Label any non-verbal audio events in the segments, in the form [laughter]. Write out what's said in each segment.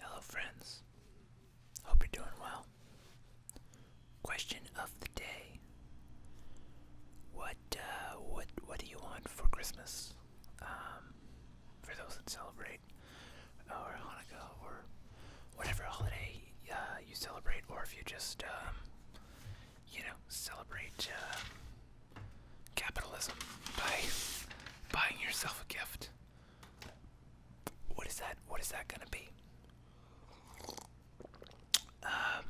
Hello, friends. Hope you're doing well. Question of the day: What, uh, what, what do you want for Christmas? Um, for those that celebrate, or Hanukkah, or whatever holiday uh, you celebrate, or if you just, um, you know, celebrate uh, capitalism by buying yourself a gift. What is that? What is that gonna be? Um,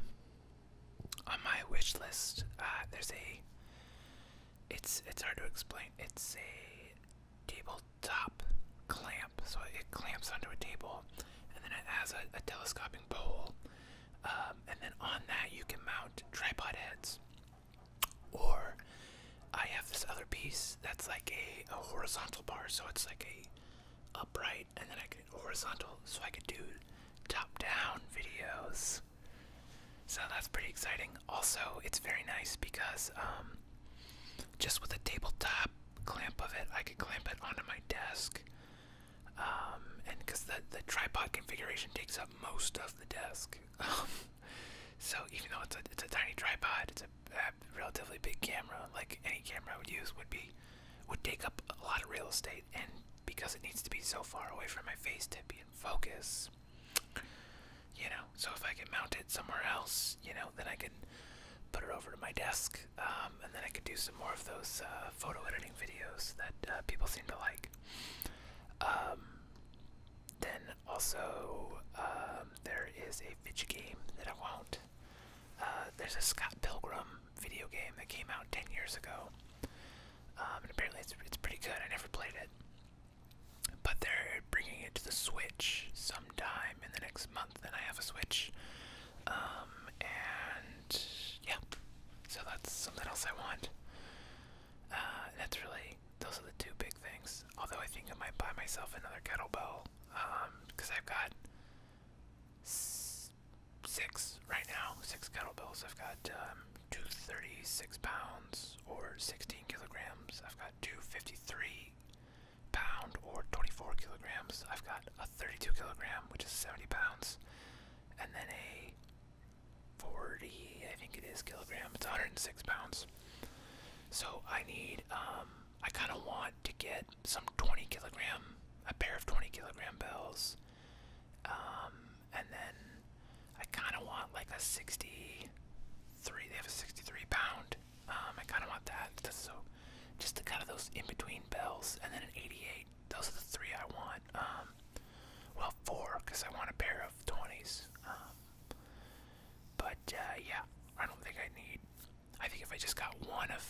on my wish list, uh, there's a. It's it's hard to explain. It's a tabletop clamp, so it clamps onto a table, and then it has a, telescoping pole, um, and then on that you can mount tripod heads. Or I have this other piece that's like a, horizontal bar, so it's like a upright, and then I could horizontal, so I could do top-down videos. So that's pretty exciting. Also, it's very nice because um, just with a tabletop clamp of it, I could clamp it onto my desk. Um, and because the tripod configuration takes up most of the desk. [laughs] Um, so even though it's a it's a tiny tripod, it's a, relatively big camera. Like any camera I would use would be would take up a lot of real estate, and because it needs to be so far away from my face to be in focus, you know. So if I can mount it somewhere else, you know, then I can put it over to my desk, um, and then I can do some more of those uh, photo editing videos that uh, people seem to like. Um, then also, um, there is a video game that I want. Uh, there's a Scott Pilgrim video game that came out 10 years ago. Um, and apparently it's, it's pretty good. I never played it. But they're bringing it to the Switch sometime in the next month, and I have a Switch. Um, and yeah, so that's something else I want. Uh, that's really those are the two big things. Although I think I might buy myself another kettlebell because um, I've got six right now, six kettlebells. I've got um, two thirty-six pounds or sixteen kilograms. I've got two fifty-three pound or twenty-four kilograms. I've got a thirty-two kilogram, which is seventy pounds, and then a 40, I think it is, kilogram. It's 106 pounds. So I need, um, I kind of want to get some 20 kilogram, a pair of 20 kilogram bells. Um, and then I kind of want like a 63, they have a 63 pound. Um, I kind of want that. Just so, just the kind of those in between bells. And then an 88. Those are the three I want. well, four, because I want a pair of 20s. But uh, yeah, I don't think I need. I think if I just got one of,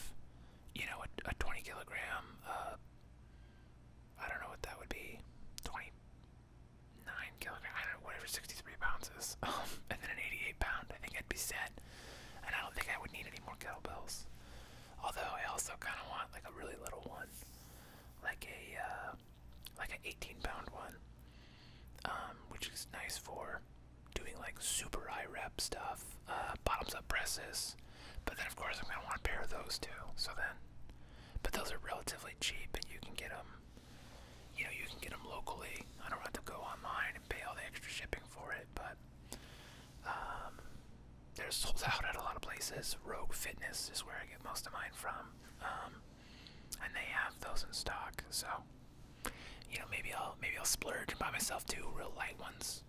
you know, a, 20 kilogram, uh, I don't know what that would be, 29 kilogram, I don't know, whatever 63 pounds is, [laughs] and then an 88 pound, I think I'd be set. And I don't think I would need any more kettlebells. Although I also kind of want like a really little one, like a. Uh, like an 18 pound one, um, which is nice for doing like super high rep stuff, uh, bottoms up presses. But then, of course, I'm gonna want to pair those two. So then, but those are relatively cheap, and you can get them. You know, you can get them locally. I don't have to go online and pay all the extra shipping for it, but. Um, they're sold out at a lot of places. Rogue Fitness is where I get most of mine from. Um, and they have those in stock. So, you know, maybe I'll maybe I'll splurge and buy myself two real light ones,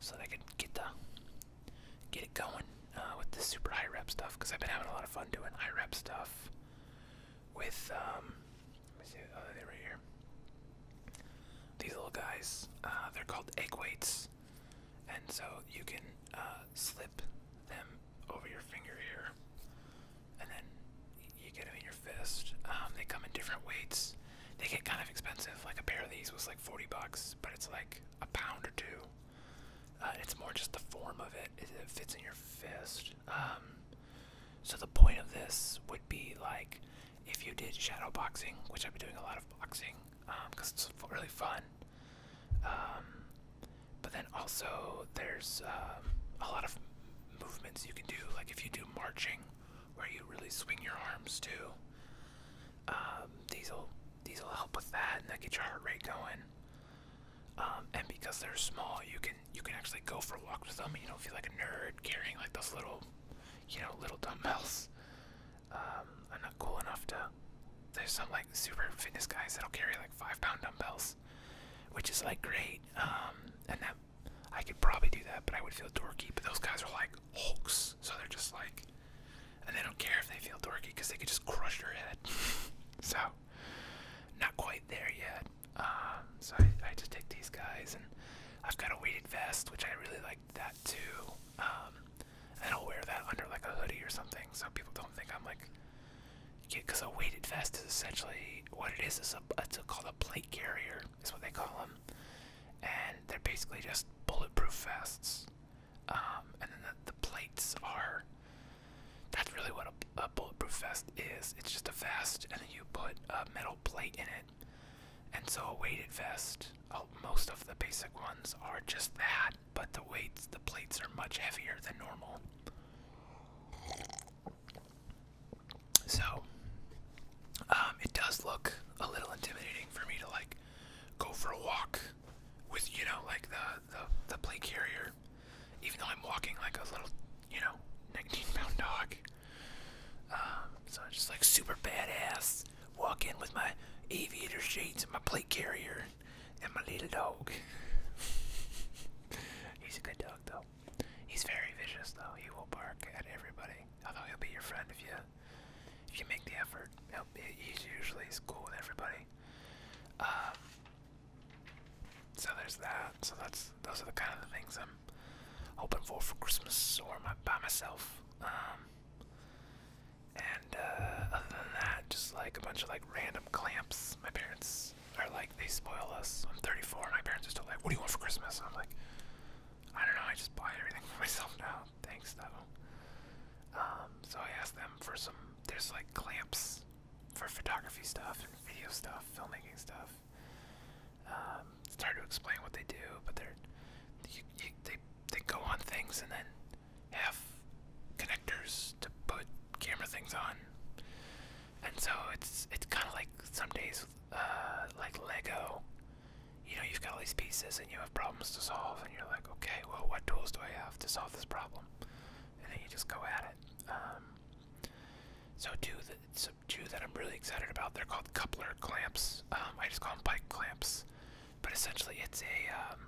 so that I can get the get it going uh, with the super high rep stuff. Cause I've been having a lot of fun doing high rep stuff with um, let me see, oh, they're right here. These little guys, uh, they're called egg weights, and so you can uh, them over your finger here, and then you get them in your fist. Um, they come in different weights. They get kind of expensive. Like a pair of these was like 40 bucks, but it's like a pound or two. Uh, it's more just the form of it. It fits in your fist. Um, so the point of this would be like if you did shadowboxing, which I've been doing a lot of boxing because um, it's really fun. But then also there's um, a lot of movements you can do, like if you do marching, where you really swing your arms too. Um, these will these will help with that, and get your heart rate going. Um, and because they're small, you can you can actually go for a walk with them. You don't feel like a nerd carrying like those little, you know, little dumbbells. I'm not cool enough to there's some like super fitness guys that'll carry like five pound dumbbells, which is like great. Um, and that I could probably do that, but I would feel dorky. But those guys are like hulks, so they're just like, and they don't care if they feel dorky because they could just crush your head. [laughs] so, not quite there yet. Um, so I, I just take these guys, and I've got a weighted vest, which I really like that too. Um, and I'll wear that under like a hoodie or something, so people don't think I'm like because a weighted vest is essentially what it is. It's, called a plate carrier, is what they call them, and they're basically just bulletproof vests. Um, and then the, plates are. That's really what a, bulletproof vest is. It's just a vest, and then you put a metal plate in it. And so a weighted vest, uh, most of the basic ones are just that but the weights, the plates are much heavier than normal. So, um, it does look a little intimidating for me to like go for a walk with, you know, like the, the, the plate carrier, even though I'm walking like a little, you know, 19 pound dog. Um, so I'm just like super badass, walk in with my aviator shades and my plate carrier and my little dog. [laughs] He's a good dog though. He's very vicious though. He will bark at everybody. Although he'll be your friend if you if you make the effort. he he's usually he's cool with everybody. Um, so there's that. So that's those are the kind of things I'm hoping for for Christmas or by myself. Um, and uh, other than that, just like a bunch of like random clamps. My parents are like, they spoil us. I'm 34, and my parents are still like, what do you want for Christmas? And I'm like, I don't know, I just buy everything for [laughs] myself now. Thanks, though. Um, so I asked them for some, there's like clamps for photography stuff and video stuff, filmmaking stuff. Um, it's hard to explain what they do, but they're, you, you, they, they go on things and then have connectors to put camera things on, and so it's it's kind of like some days uh, like Lego. You know, you've got all these pieces and you have problems to solve, and you're like, okay, well, what tools do I have to solve this problem? And then you just go at it. Um, so two that two that I'm really excited about. They're called coupler clamps. Um, I just call them bike clamps, but essentially it's a um,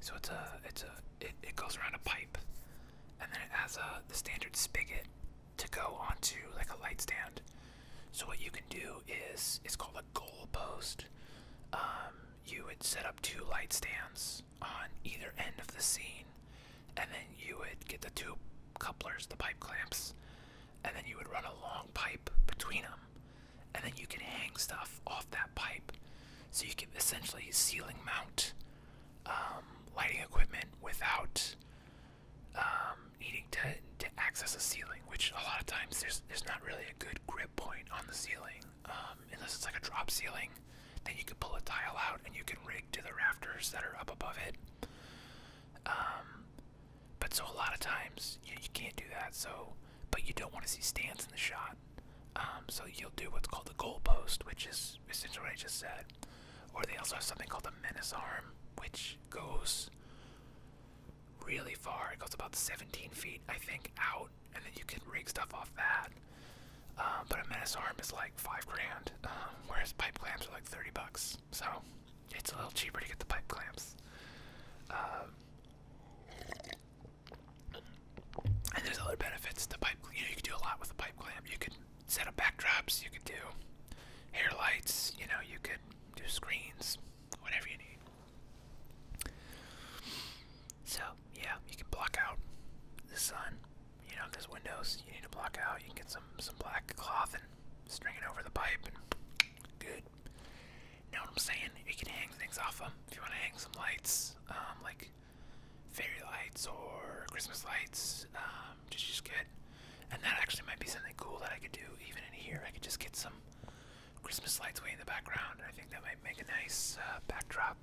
so it's a it's a it, it goes around a pipe, and then it has a the standard spigot to go onto like a light stand. So what you can do is it's called a goal post. Um, you would set up two light stands on either end of the scene, and then you would get the two couplers, the pipe clamps, and then you would run a long pipe between them and then you can hang stuff off that pipe. So you can essentially ceiling mount um, lighting equipment without um, needing to, to access the ceiling, which a lot of times there's there's not really a good grip point on the ceiling, um, unless it's like a drop ceiling. Then you can pull a tile out and you can rig to the rafters that are up above it. but so a lot of times you can't do that. So but you don't want to see stands in the shot. Um, so you'll do what's called a goalpost, which is essentially what I just said. Or they also have something called a menace arm, which goes really far. It goes about 17 feet, I think, out, and then you can rig stuff off that. Um, but a menace arm is like five grand, um, whereas pipe clamps are like 30 bucks. So it's a little cheaper to get the pipe clamps. And there's other benefits to pipe. You can do a lot with a pipe clamp. You could set up backdrops. You could do hair lights. You know, you could do screens. Whatever you need. So yeah, you can block out the sun. You know, if there's windows, you need to block out. You can get some some black cloth and string it over the pipe, good. You know what I'm saying? You can hang things off them. If you want to hang some lights, um, like fairy lights or Christmas lights, um, just just get. And that actually might be something cool that I could do even in here. I could just get some Christmas lights way in the background. I think that might make a nice uh, backdrop.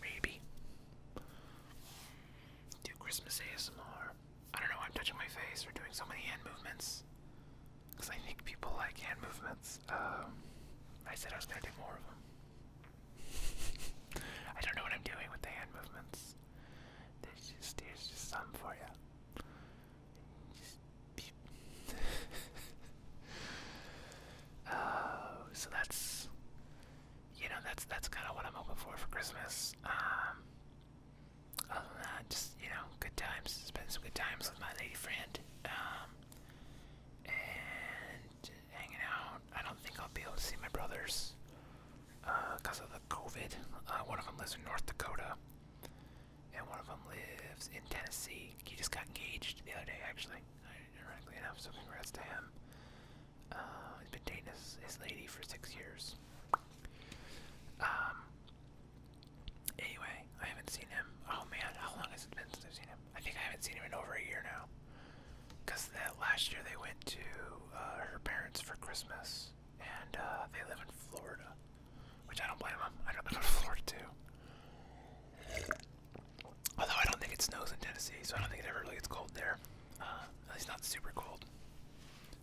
Maybe. Do Christmas ASMR. I don't know why I'm touching my face or doing so many hand movements. Because I think people like hand movements. Um, I said I was going to do more of them. [laughs] I don't know what I'm doing with the hand movements. There's just, there's just some for you. Just [laughs] oh, so that's, you know, that's that's kind of what I'm hoping for for Christmas. Um, other uh, than just you know, good times. Spent some good times with my lady friend, um, and hanging out. I don't think I'll be able to see my brothers because uh, of the COVID. Uh, one of them lives in North Dakota, and one of them lives in Tennessee. He just got engaged the other day, actually. Ironically enough, so congrats to him. he's been dating his, lady for six years. Um, Anyway, I haven't seen him. Oh man, how long has it been since I've seen him? I think I haven't seen him in over a year now. Cause last year they went to uh, her parents for Christmas, and uh, they live in Florida, which I don't blame them. I don't live in [laughs] Florida too. Although I don't think it snows in Tennessee, so I don't think it ever really gets cold there. Uh, at least not super cold.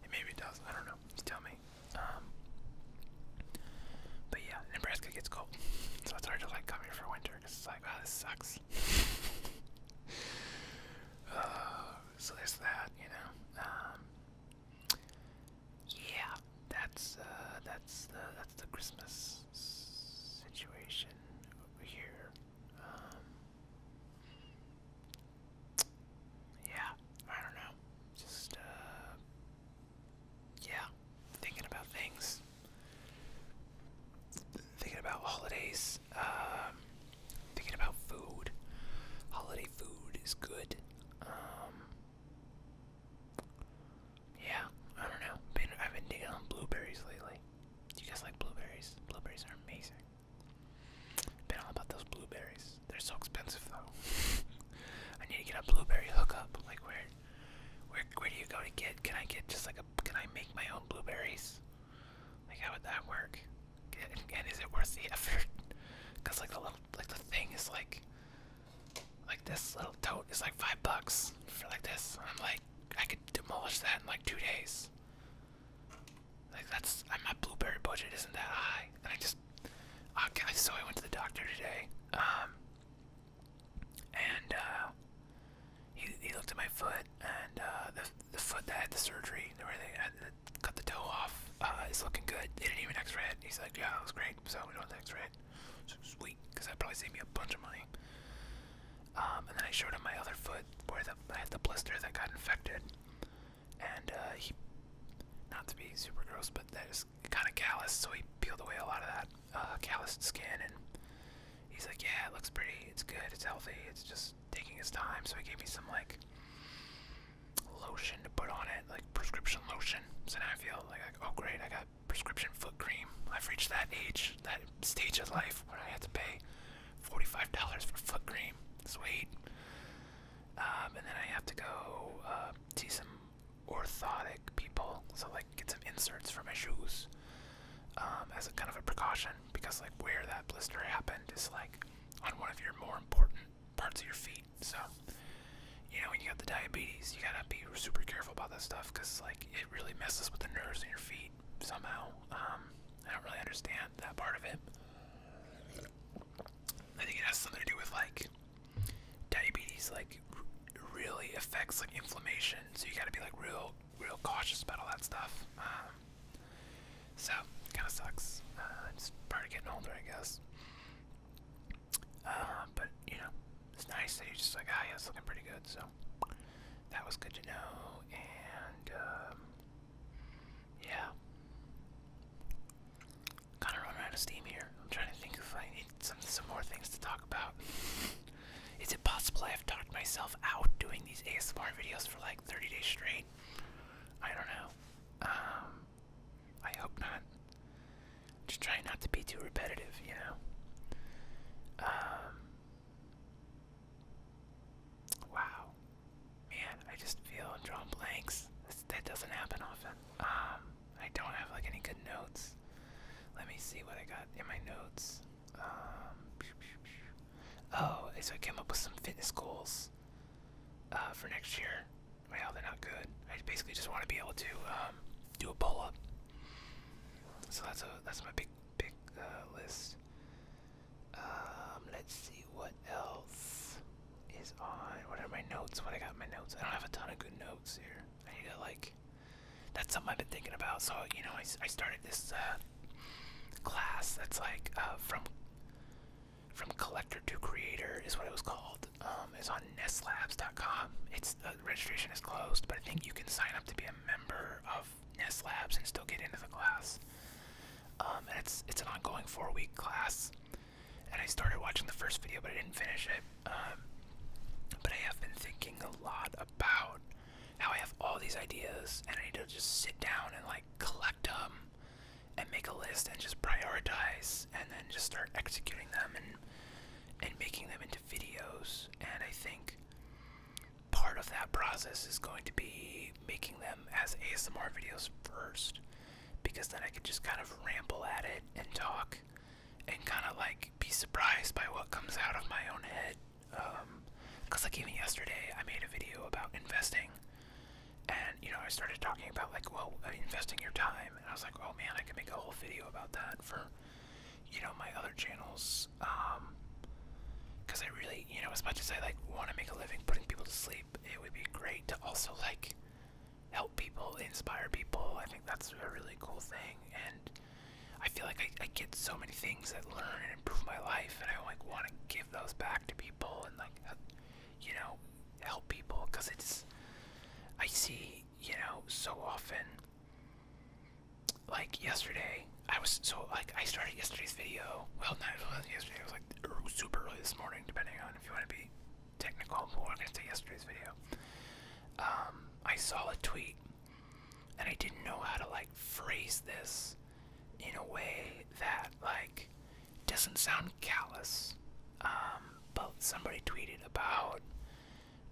And maybe it does. I don't know. You tell me. Um, but yeah, Nebraska gets cold, [laughs] so it's hard to like come here for winter because it's like, oh, this sucks. [laughs] Uh, so there's that, you know. Um, yeah, that's uh, that's the that's the Christmas situation over here. Um, yeah, I don't know. Just uh, yeah, thinking about things, thinking about holidays, um, thinking about food. Holiday food is good. Um, yeah, I don't know. I've been digging on blueberries lately. You guys like blueberries? Blueberries are amazing. Been all about those blueberries. They're so expensive though. [laughs] I need to get a blueberry hookup. Like where, where, where do you go to get? Can I get just like a? Can I make my own blueberries? Like how would that work? And, and is it worth the effort? [laughs] Cause like the little, like the thing is like, like this little tote is like five bucks for like this. I'm like, I could demolish that in like two days. Like that's, my blueberry budget isn't that high, and I just Okay, so I went to the doctor today, um, and uh, he looked at my foot, and uh, the the foot that had the surgery, where they cut the toe off, uh, It's looking good. They didn't even X-ray it. He's like, yeah, that was great. So we don't X-ray it. sweet, because that probably saved me a bunch of money. Um, and then I showed him my other foot where I had the blister that got infected and uh, he, not to be super gross, but that is kind of calloused, so he peeled away a lot of that uh, calloused skin, and he's like, yeah, it looks pretty, it's good, it's healthy, it's just taking its time, so he gave me some, like, lotion to put on it, like prescription lotion, so now I feel like, oh great, I got prescription foot cream, I've reached that age, that stage of life where I have to pay $45 for foot cream, sweet. Um, and then I have to go uh, see some orthotic people, so like get some inserts for my shoes um, as a kind of a precaution because like where that blister happened is like on one of your more important parts of your feet. So you know when you got the diabetes, you gotta be super careful about that stuff because like it really messes with the nerves in your feet somehow. Um, I don't really understand that part of it. I think it has something to do with like diabetes, like really affects like inflammation. So you got to be like real, real cautious about all that stuff. Um, so kind of sucks. Uh, it's part of getting older, I guess. Uh, but you know, it's nice that you just like, ah, oh, yeah, it's looking pretty good. So that was good to know. And um, yeah. Kind of running out of steam here. I'm trying to think if I need some some more things to talk about. [laughs] Is it possible I have talked myself out doing these ASMR videos for like 30 days straight? I don't know. Um, I hope not. Just trying not to be too repetitive, you know. Um, wow. Man, I just feel drawn blanks. that doesn't happen often. Um, I don't have like any good notes. Let me see what I got in my notes. Um, oh, so I came up with some fitness goals uh, for next year. Well, they're not good. I basically just want to be able to um, do a pull up. So that's that's my big big uh, list. Um, let's see what else is on. What are my notes? What I got my notes? I don't have a ton of good notes here. I need to like. That's something I've been thinking about. So you know, I, I started this uh, class that's like uh, from from collector to creator is what it was called. Um, it's on nestlabs.com. It's the registration is closed, but I think you can sign up to be a member of Nest Labs and still get into the class. Um, it's it's an ongoing four week class and I started watching the first video, but I didn't finish it. Um, but I have been thinking a lot about how I have all these ideas, and I need to just sit down and like collect them and make a list and just prioritize and then just start executing them and and making them into videos and I think part of that process is going to be making them as ASMR videos first because then I could just kind of ramble at it and talk and kind of like be surprised by what comes out of my own head. Because, um, like, even yesterday, I made a video about investing, and you know, I started talking about like, well, uh, investing your time, and I was like, oh man, I could make a whole video about that for you know my other channels. because um, I really, you know, as much as I like want to make a living putting people to sleep, it would be great to also like help people, inspire people. I think that's a really cool thing, and I feel like I, get so many things that learn and improve my life, and I like want to give those back to people and like, you know, help people because it's. I see, you know, so often. Like yesterday, I was so like I started yesterday's video. Well, not yesterday. It was like super early this morning, depending on if you want to be technical, but we gonna say yesterday's video. Um, I saw a tweet, and I didn't know how to like phrase this in a way that like doesn't sound callous. Um, but somebody tweeted about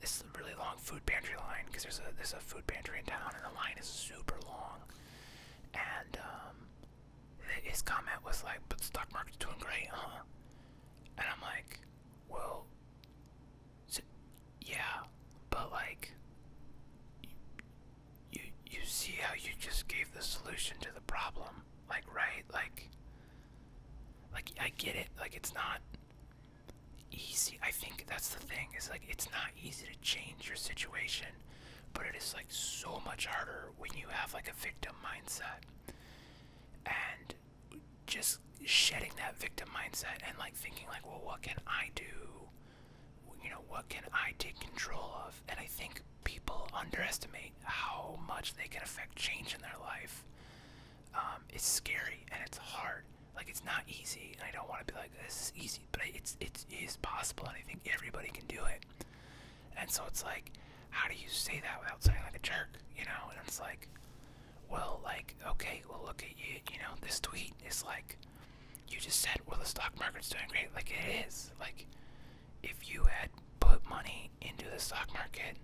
this really long food pantry line because there's a there's a food pantry in town, and the line is super long. And um, his comment was like, but the stock market's doing great, huh? And I'm like, well, yeah, but like, you, you, see how you just gave the solution to the problem, like, right? Like, like, I get it, like, it's not easy. I think that's the thing, is like, it's not easy to change your situation but it is like so much harder when you have like a victim mindset and just shedding that victim mindset and like thinking like well what can i do you know what can i take control of and i think people underestimate how much they can affect change in their life um, it's scary and it's hard like it's not easy and i don't want to be like this is easy but it's it is possible and i think everybody can do it and so it's like, how do you say that without sounding like a jerk? You know, and it's like, well, like, okay, well, look at you. You know, this tweet is like, you just said, well, the stock market's doing great. Like, it is. Like, if you had put money into the stock market,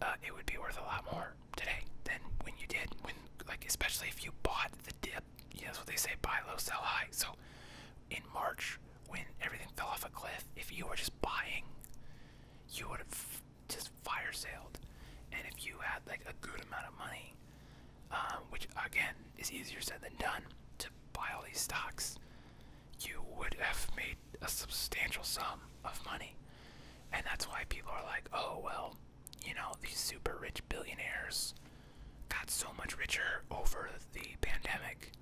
uh, it would be worth a lot more today than when you did. When, like, especially if you bought the dip. You that's what they say buy low, sell high. So in March, when everything fell off a cliff, if you were just buying, you would have just fire sailed. And if you had like a good amount of money, um, which again is easier said than done, to buy all these stocks, you would have made a substantial sum of money. And that's why people are like, oh, well, you know, these super rich billionaires got so much richer over the pandemic.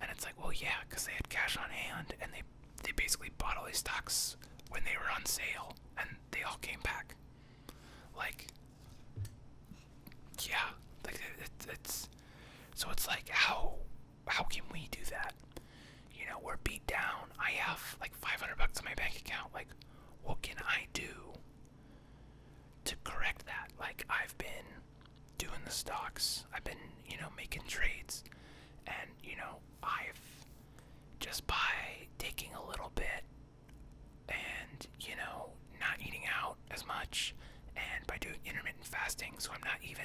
And it's like, well, yeah, because they had cash on hand and they they basically bought all these stocks when they were on sale and they all came back. Like, yeah, like it, it's so it's like how how can we do that? You know, we're beat down. I have like 500 bucks in my bank account. Like, what can I do to correct that. Like I've been doing the stocks, I've been, you know, making trades and you know, I've just by taking a little bit and, you know, not eating out as much and by doing intermittent fasting, so I'm not even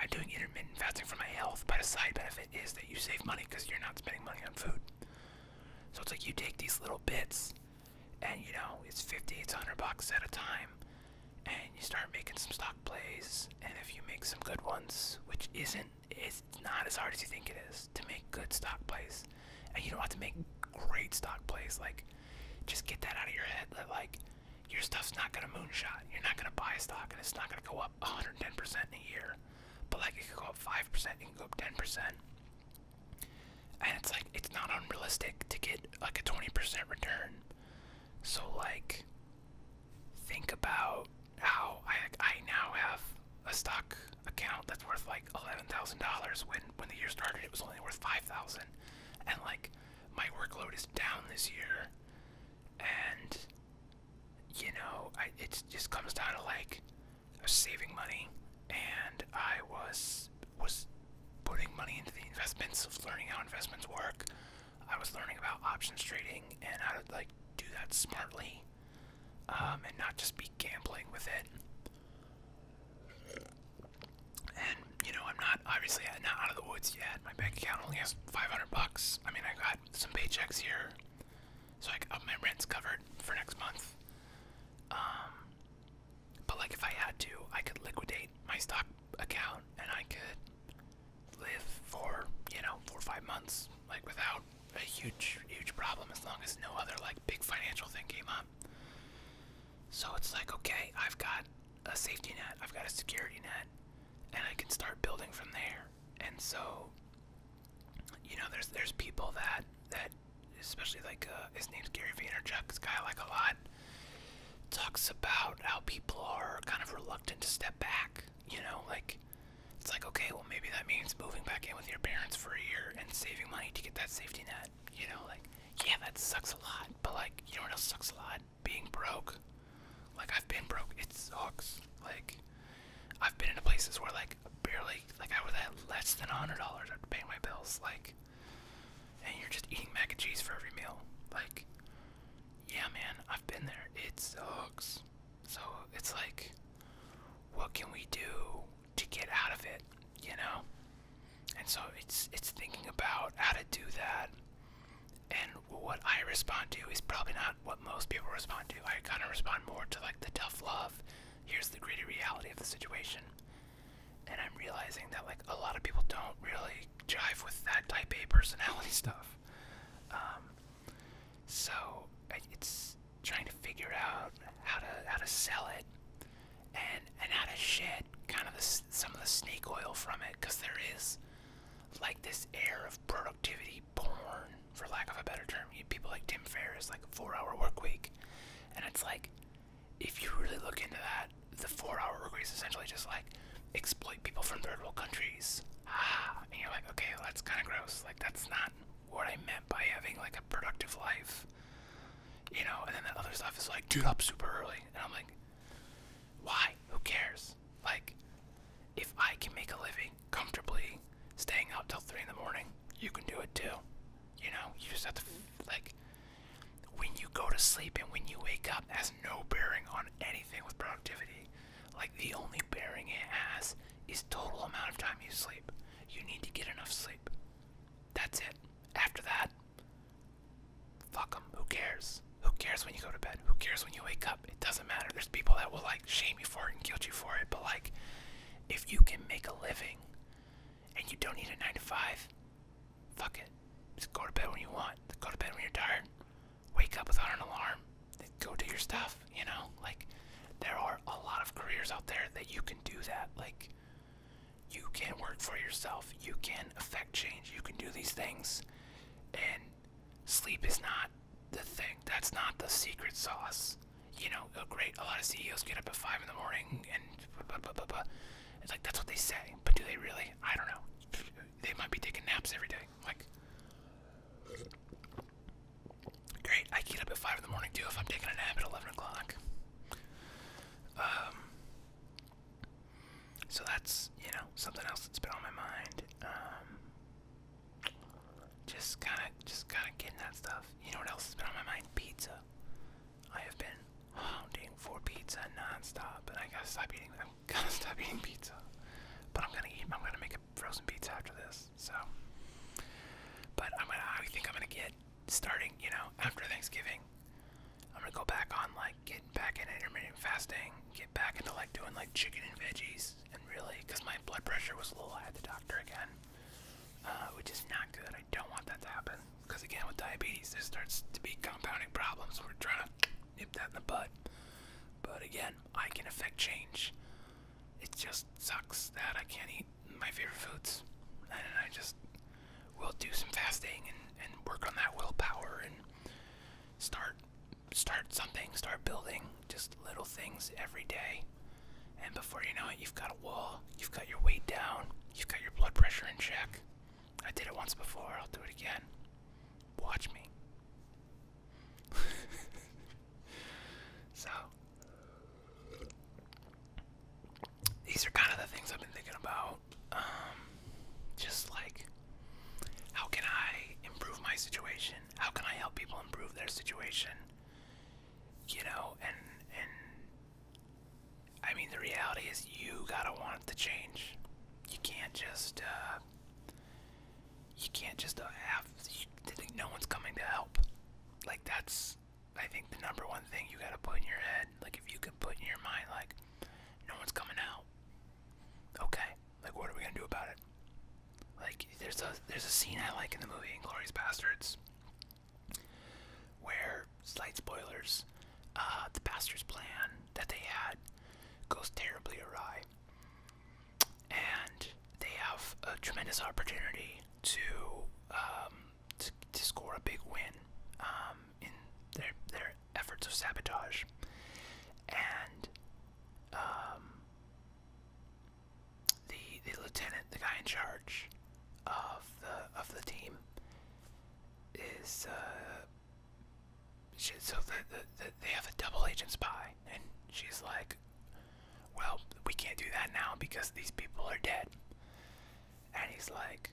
I'm doing intermittent fasting for my health, but a side benefit is that you save money because you're not spending money on food. So it's like you take these little bits and you know it's 50 it's 100 bucks at a time and you start making some stock plays and if you make some good ones which isn't it's not as hard as you think it is to make good stock plays and you don't have to make great stock plays like just get that out of your head like your stuff's not gonna moonshot you're not gonna buy a stock and it's not gonna go up 110% in a year but like it could go up 5% it can go up 10% and it's like it's not unrealistic to get like a 20% return so like think about how i i now have a stock account that's worth like $11,000 when when the year started it was only worth 5,000 and like my workload is down this year and you know it just comes down to like saving money and I was was putting money into the investments of learning how investments work. I was learning about options trading and how to like do that smartly um, and not just be gambling with it. And you know, I'm not obviously not out of the woods yet. My bank account only has 500 bucks. I mean, I got some paychecks here, so I got my rent's covered for next month. Um, but like if I had to, I could liquidate my stock account and I could live for, you know, four or five months, like without a huge, huge problem as long as no other like big financial thing came up. So it's like, okay, I've got a safety net, I've got a security net, and I can start building from there. And so, you know, there's there's people that that especially like uh, his name's Gary Vaynerchuk. This guy I like a lot talks about how people are kind of reluctant to step back. You know, like it's like okay, well maybe that means moving back in with your parents for a year and saving money to get that safety net. You know, like yeah, that sucks a lot, but like you know what else sucks a lot? Being broke. Like I've been broke. It sucks. Like I've been into places where like barely like I was at less than a hundred dollars after paying my bills. Like and you're just eating mac and cheese for every meal. Like, yeah, man, I've been there. It sucks. So it's like, what can we do to get out of it? You know. And so it's it's thinking about how to do that. And what I respond to is probably not what most people respond to. I kind of respond more to like the tough love. Here's the gritty reality of the situation and I'm realizing that like a lot of people don't really jive with that type A personality [laughs] stuff. Um, so it's trying to figure out how to how to sell it and and how to shed kind of some of the snake oil from it because there is like this air of productivity born for lack of a better term. You people like Tim Ferriss, like four-hour work week, and it's like if you really look into that, the four-hour workweek is essentially just like exploit people from third world countries. Ah, and you're like, okay, that's kind of gross. Like that's not what I meant by having like a productive life. You know, and then that other stuff is like, dude, up super early, and I'm like, why? Who cares? Like, if I can make a living comfortably staying up till three in the morning, you can do it too. You know, you just have to like when you go to sleep and when you wake up has no bearing on anything with productivity. Like the only bearing it has is total amount of time you sleep. You need to get enough sleep. That's it. After that, fuck them. Who cares? Who cares when you go to bed? Who cares when you wake up? It doesn't matter. There's people that will like shame you for it and guilt you for it, but like if you can make a living and you don't need a 9 to 5, fuck it. Just go to bed when you want. Go to bed when you're tired. Wake up without an alarm. go do your stuff, you know? Like, there are a lot of careers out there that you can do that. Like, you can work for yourself. You can affect change. You can do these things. And sleep is not the thing. That's not the secret sauce you know, great, a lot of CEOs get up at five in the morning and blah, like, that's what they say. But do they really? I don't know. They might be taking naps every day. Like, great, I get up at five in the morning too if I'm taking a nap at 11 o'clock. Um, so that's, you know, something else that's been on my mind. Um, just kind of, just kind of getting that stuff. You know what else has been on my mind? Pizza. I have been hounding for pizza nonstop, and I gotta stop eating. I'm gonna [laughs] stop eating pizza, but I'm gonna eat. I'm gonna make a frozen pizza after this. So, but I'm gonna. I think I'm gonna get starting. You know, after Thanksgiving, I'm gonna go back on like getting back into intermittent fasting, get back into like doing like chicken and veggies, and really, cause my blood pressure was low, I had the doctor again, uh, which is not good. I don't want that to happen. Because again, with diabetes, there starts to be compounding problems. We're trying to nip that in the bud. But again, I can affect change. It just sucks that I can't eat my favorite foods. And I just will do some fasting and, and work on that willpower and start start something, start building just little things every day. And before you know it, you've got a wall, you've got your weight down, you've got your blood pressure in check. I did it once before, I'll do it again. Watch me. [laughs] so, these are kind of the things I've been thinking about. Um, just like, how can I improve my situation? How can I help people improve their situation? You know, and and I mean, the reality is you gotta want to change. You can't just, uh, you can't just uh, have, no one's coming to help. Like, that's, I think, the number one thing you gotta put in your head. Like, if you could put in your mind, like, no one's coming out. Okay, like, what are we gonna do about it? Like, there's a, there's a scene I like in the movie *Glory's Bastards where slight spoilers, uh, the pastor's plan that they had goes terribly awry, and they have a tremendous opportunity to um, to, score a big win um, in their their efforts of sabotage, and um, the the lieutenant, the guy in charge of the of the team, is uh, so the, the, they have a double agent spy, and she's like, well, we can't do that now because these people are dead. And he's like,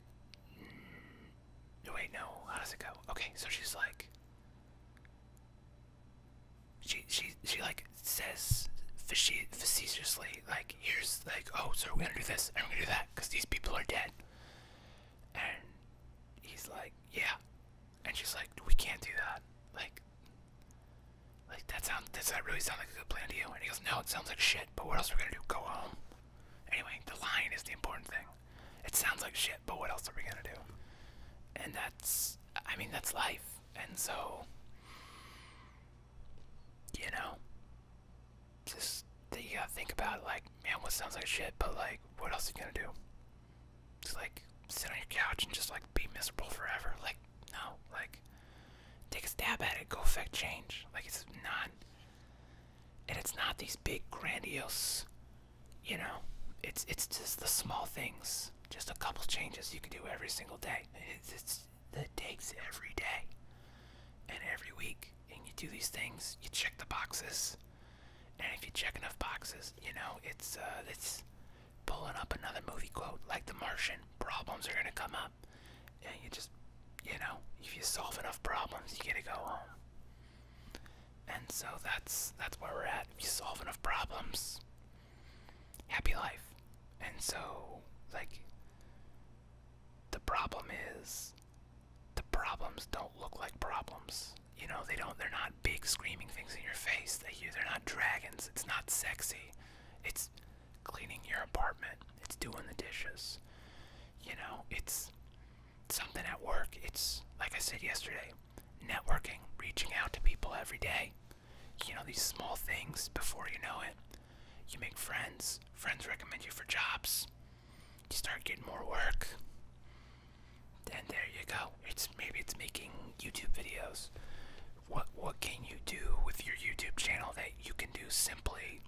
mm, wait, no, how does it go? Okay, so she's like. She she she like says facetiously, like, here's, like, oh, so we're gonna do this and we're gonna do that because these people are dead. And he's like, yeah. And she's like, we can't do that. Like, like that sounds, does that really sound like a good plan to you? And he goes, no, it sounds like shit, but what else are we gonna do? Go home. Anyway, the line is the important thing. It sounds like shit, but what else are we gonna do? And that's, I mean, that's life. And so, you know, just that you gotta think about like, man, what sounds like shit, but like, what else are you gonna do? Just like sit on your couch and just like be miserable forever. Like, no, like, take a stab at it. Go affect change. Like, it's not, and it's not these big grandiose, you know. It's it's just the small things. Just a couple changes you can do every single day. It's, it's that takes every day and every week and you do these things you check the boxes and if you check enough boxes you know it's uh, it's pulling up another movie quote like the martian problems are going to come up and you just you know if you solve enough problems you get to go home and so that's that's where we're at if you solve enough problems happy life. And so, like, the problem is the problems don't look like problems. You know, they don't, they're not big screaming things in your face. They, they're not dragons. It's not sexy. It's cleaning your apartment. It's doing the dishes. You know, it's something at work. It's, like I said yesterday, networking, reaching out to people every day you know, these small things before you know it. You make friends, friends recommend you for jobs, you start getting more work. Then there you go. It's maybe it's making YouTube videos. What what can you do with your YouTube channel that you can do simply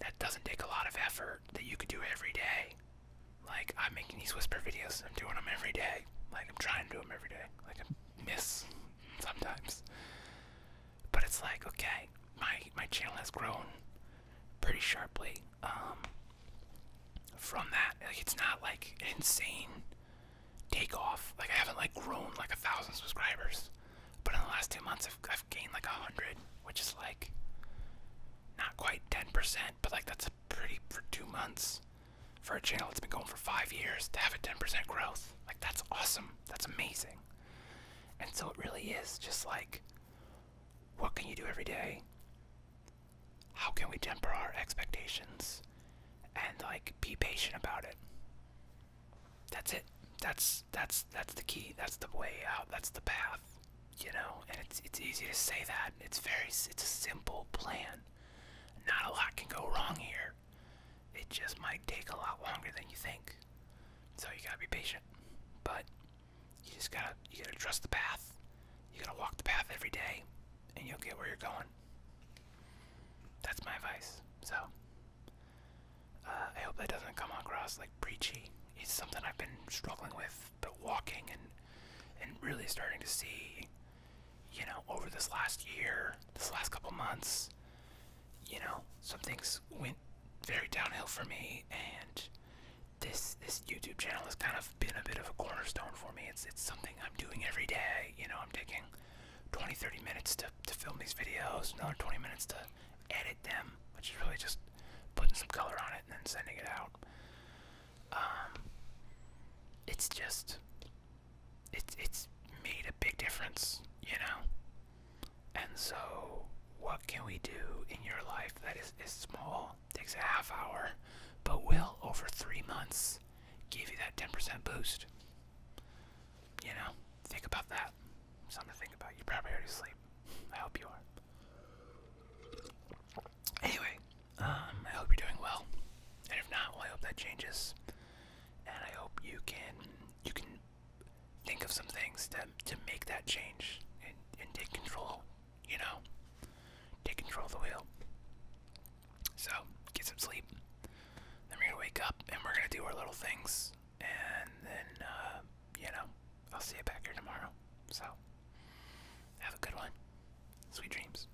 that doesn't take a lot of effort that you could do every day? Like I'm making these whisper videos. I'm doing them every day. Like I'm trying to do them every day. Like I miss [laughs] sometimes. But it's like, okay, my my channel has grown pretty sharply. Um, from that. Like it's not like an insane takeoff. Like I haven't like grown like a thousand subscribers. But in the last two months I've gained like a hundred, which is like not quite ten percent, but like that's pretty for two months for a channel that's been going for five years to have a 10% growth. Like, that's awesome. That's amazing. And so it really is just like, what can you do every day? How can we temper our expectations and like be patient about it? That's it. That's that's that's the key. That's the way out. That's the path. You know, and it's it's easy to say that. It's very it's a simple plan. Not a lot can go wrong here. It just might take a lot longer than you think. So you gotta be patient. But you just gotta you gotta trust the path. You gotta walk the path every day and you'll get where you're going. That's my advice. So uh, I hope that doesn't come across like preachy. It's something I've been struggling with, but walking and and really starting to see you know, over this last year, this last couple months, you know, some things went very downhill for me, and this this YouTube channel has kind of been a bit of a cornerstone for me. It's it's something I'm doing every day. You know, I'm taking 20, 30 minutes to to film these videos, another 20 minutes to edit them, which is really just putting some color on it and then sending it out. Um, it's just it's it's made a big difference, you know. And so, what can we do in your life that is, is small, takes a half hour, but will over three months give you that 10% boost? You know, think about that. Something to think about. You probably already sleep. I hope you are. Anyway, um, I hope you're doing well. And if not, well, I hope that changes and I hope you can you can think of some things to to make that change and, and take control, you know, take control of the wheel. So get some sleep. Then we're gonna wake up and we're gonna do our little things, and then uh, you know I'll see you back here tomorrow. So have a good one. Sweet dreams.